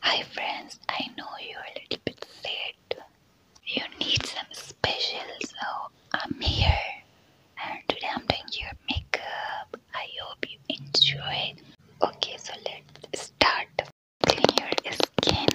Hi friends, I know you're a little bit scared. You need some special, so I'm here. And today I'm doing your makeup. I hope you enjoy. Okay, so let's start Clean your skin.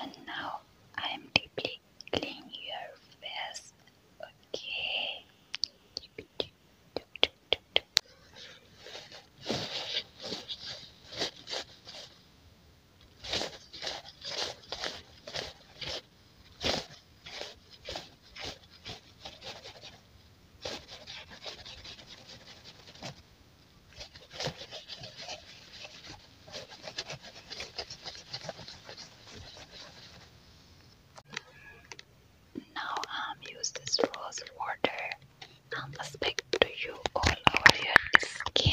And now I'm deeply cleaning your face. Okay. Now I'm um, rose water and um, let's speak to you all over your skin.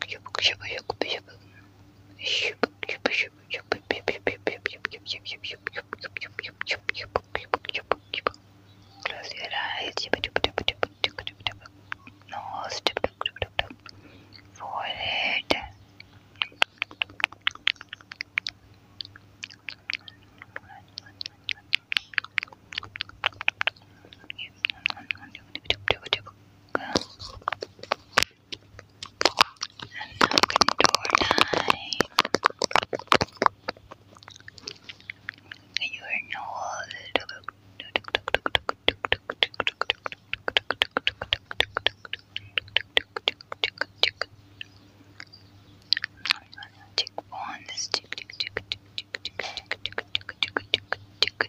Close your eyes. Nose. Forehead and knock on the door You are now Tick on this tick tick tick tick tick tick tick tick tick tick tick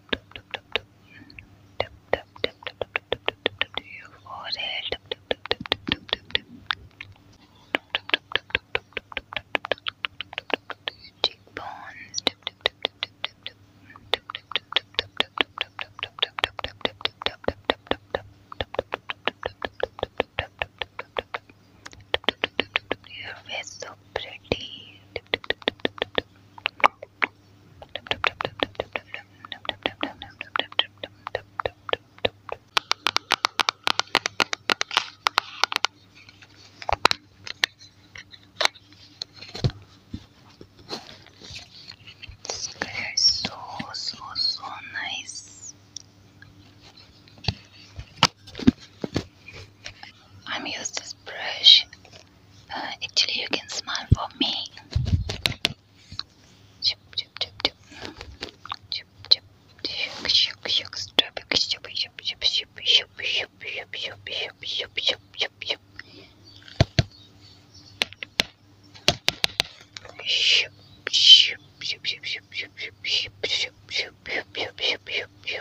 your forehead. Your cheekbones. Your face so pretty. This color is so, so, so nice. I'm using this brush actually, you can smile for me.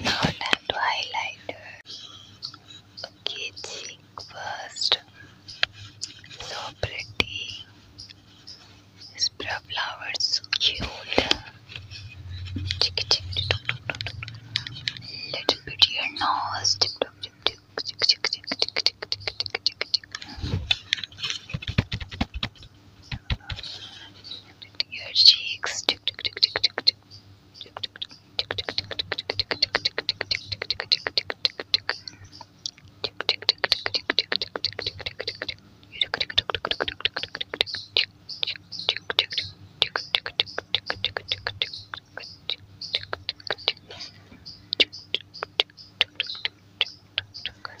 Now let's to highlighter. Okay, first. So pretty. This brow so cute. Little bit here nose. Your cheeks.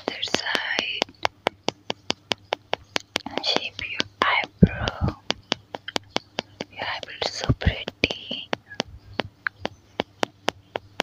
Other side shape your eyebrow. Your eyebrow so pretty.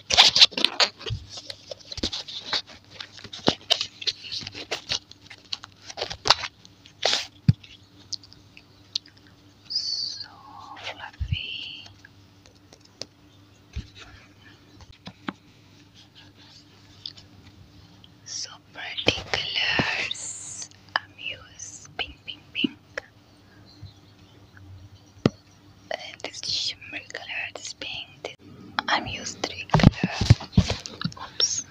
So fluffy. So pretty I'm used pink, pink, pink this shimmer color, this pink. I'm used to color. Oops.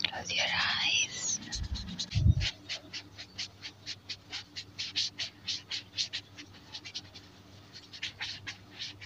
Close your eyes.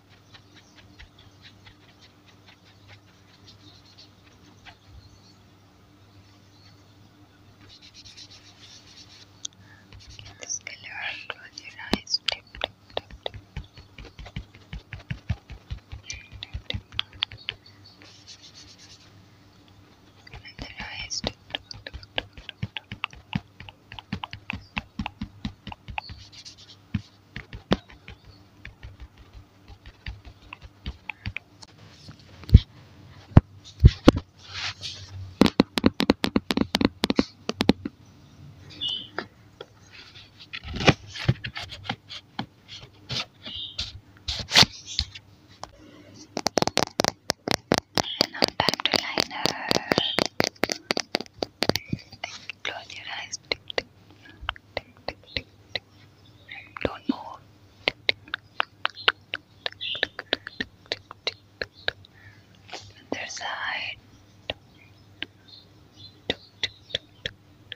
Get this color, close your eyes, tip, tip, tip, tip. Tip, tip, tip. Another eyes, tip, tip, tip, tip, tip, tip. Now back to liner. Close your eyes. Don't move. Other side.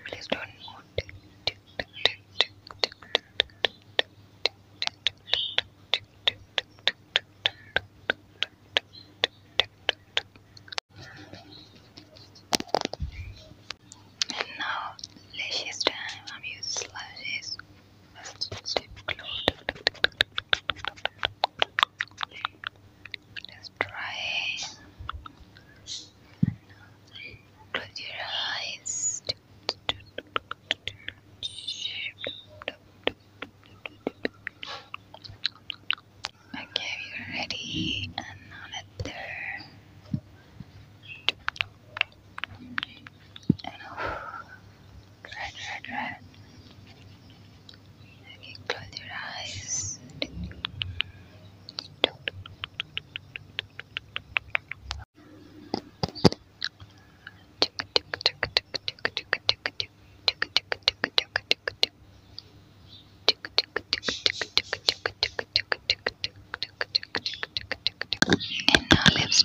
Please don't move. And now, lashes time. I'm using lashes. Lip Let's try. Close your eyes. Okay, we're ready. And another. And off. Red, red, red. Okay, close your eyes. Tick, tick, tick, and now lips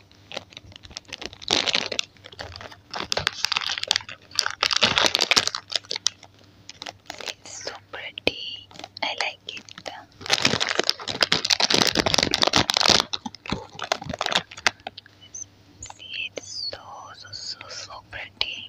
It's so pretty. I like it. it's so so so so pretty.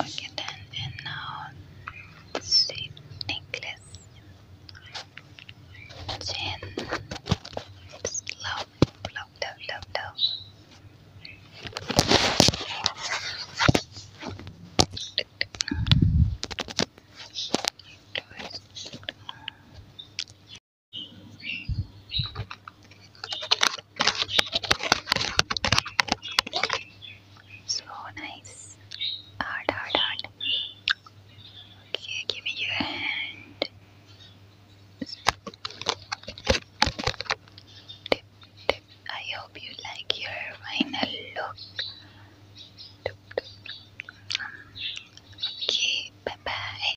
Okay then, and now shape necklace, chain, love, love, love, love, love. So nice. Hard, hard, hard. Okay, give me your hand. Tip, tip. I hope you like your final look. Um, okay, bye bye.